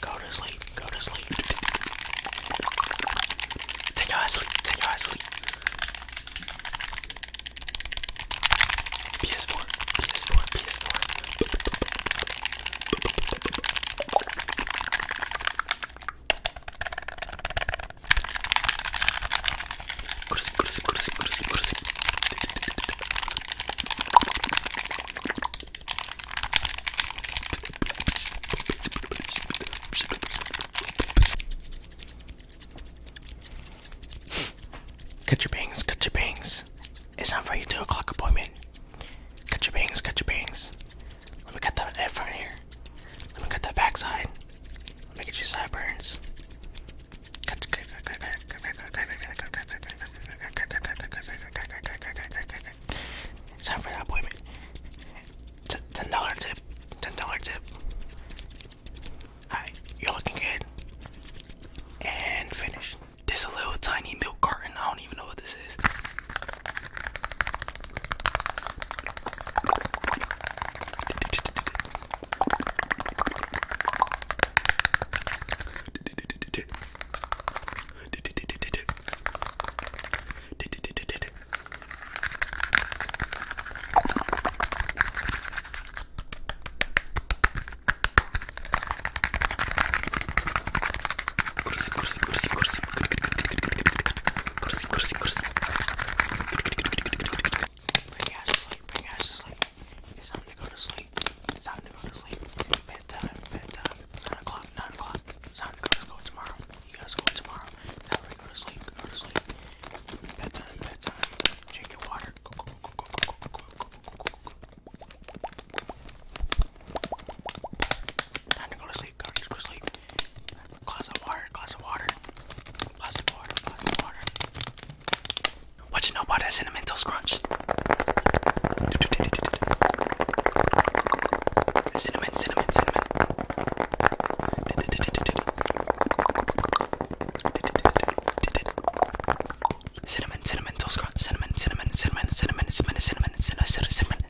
go to sleep, go to sleep. Take your ass sleep, take your ass sleep. PS4, PS4, PS4. Go to sleep, go to sleep, go to sleep, go to sleep, go to sleep. Cut your bangs, cut your bangs. It's time for your 2 o'clock appointment. Cut your bangs, cut your bangs. Let me cut that front here. Let me cut that backside. Let me get your sideburns. It's time for that appointment. T ten dollar tip. Ten dollar tip. Alright, you're looking good. And finish. This a little tiny milk carton. I don't even know what this is. My ass is like, my ass is like, it's time to go to sleep night. It's time to go to sleep. Bedtime, bedtime. 9 o'clock, 9 o'clock. It's time to go to school tomorrow. You gotta go tomorrow. Time to go to sleep, go to sleep. Bedtime, bedtime. Drink your water. Go, go, go, go, go, go, go, go, go, go, go. Time to go to sleep, go to sleep. Glass of water, glass of water. Glass of water, glass of water. What you know about that cinnamon toast crunch? Cinnamon, cinnamon, cinnamon. Cinnamon, cinnamon toast crunch. Cinnamon, cinnamon, cinnamon, cinnamon, cinnamon, cinnamon, cinnamon, cinnamon, cinnamon.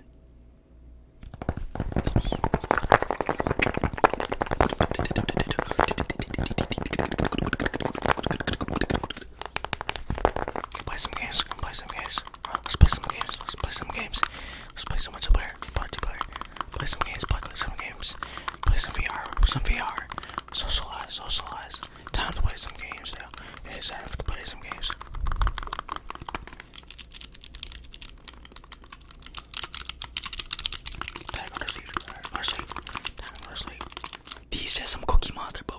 Can play some games. Let's play some games. Let's play some games. Let's play some games. Let's play some multiplayer. Multiplayer. Play some games. Play some games. Play some VR. Some VR. Socialize. Socialize. Time to play some games now. It is time to play some games. Time sleep. Time sleep. These just some Cookie Monster boys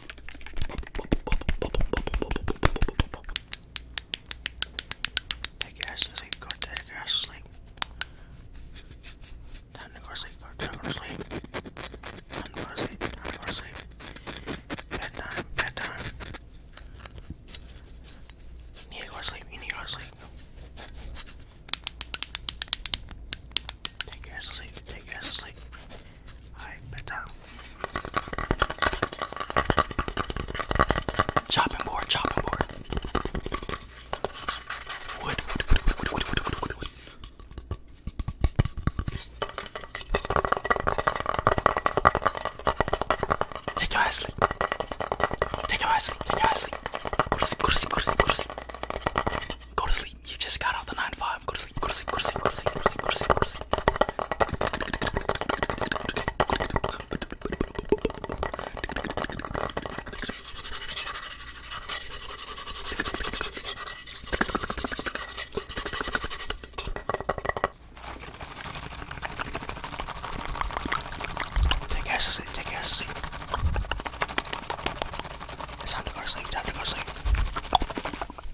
That gas is like, go go to sleep, go to sleep. Time to go to sleep, time to go to sleep. Bedtime, bedtime. You need to go to sleep, you need to go to sleep. Take your ass to sleep, take your ass to sleep. Chopping board, chopping board. Take your ass Go to sleep. Go to sleep. Go to sleep. Go to sleep. Go to sleep. You just got out the nine to five. Go to sleep. Go to sleep. Go to sleep. Go to sleep. Go to sleep. Go to sleep. Go to sleep. Take care, sleep. Take care, sleep. It's time to go to sleep. Time to go to sleep.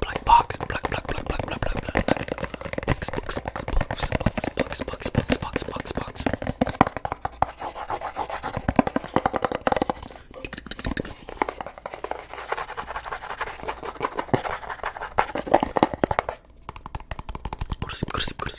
Black box, black, black, black, black, black, black, black, box, box, box, box, box, box, box, box, box, box. Kursi, kursi, kursi.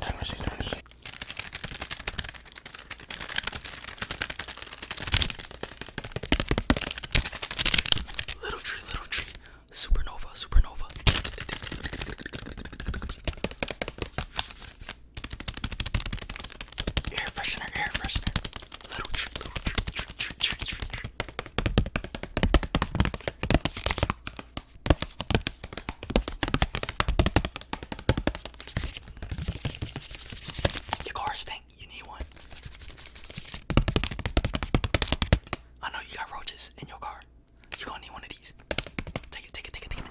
Tennessee, Tennessee. Little tree, little tree. Supernova, supernova. Air freshener, air freshener. Little tree, little tree, tree, tree, tree, tree. Your car stink. You need one. I know you got roaches in your car. You gonna need one of these. Take it, take it, take it, take it.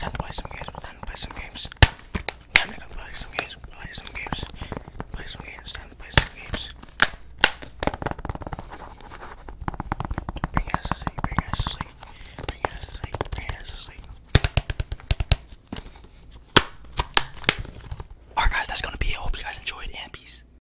Time to play some games. Time to play some games. Time to play some games. Play some games. Play some games. Time to play some games. Bring us to sleep. Bring us to sleep. Bring us to sleep. Bring us to sleep. Alright guys, that's gonna be it. I hope you guys enjoyed and peace.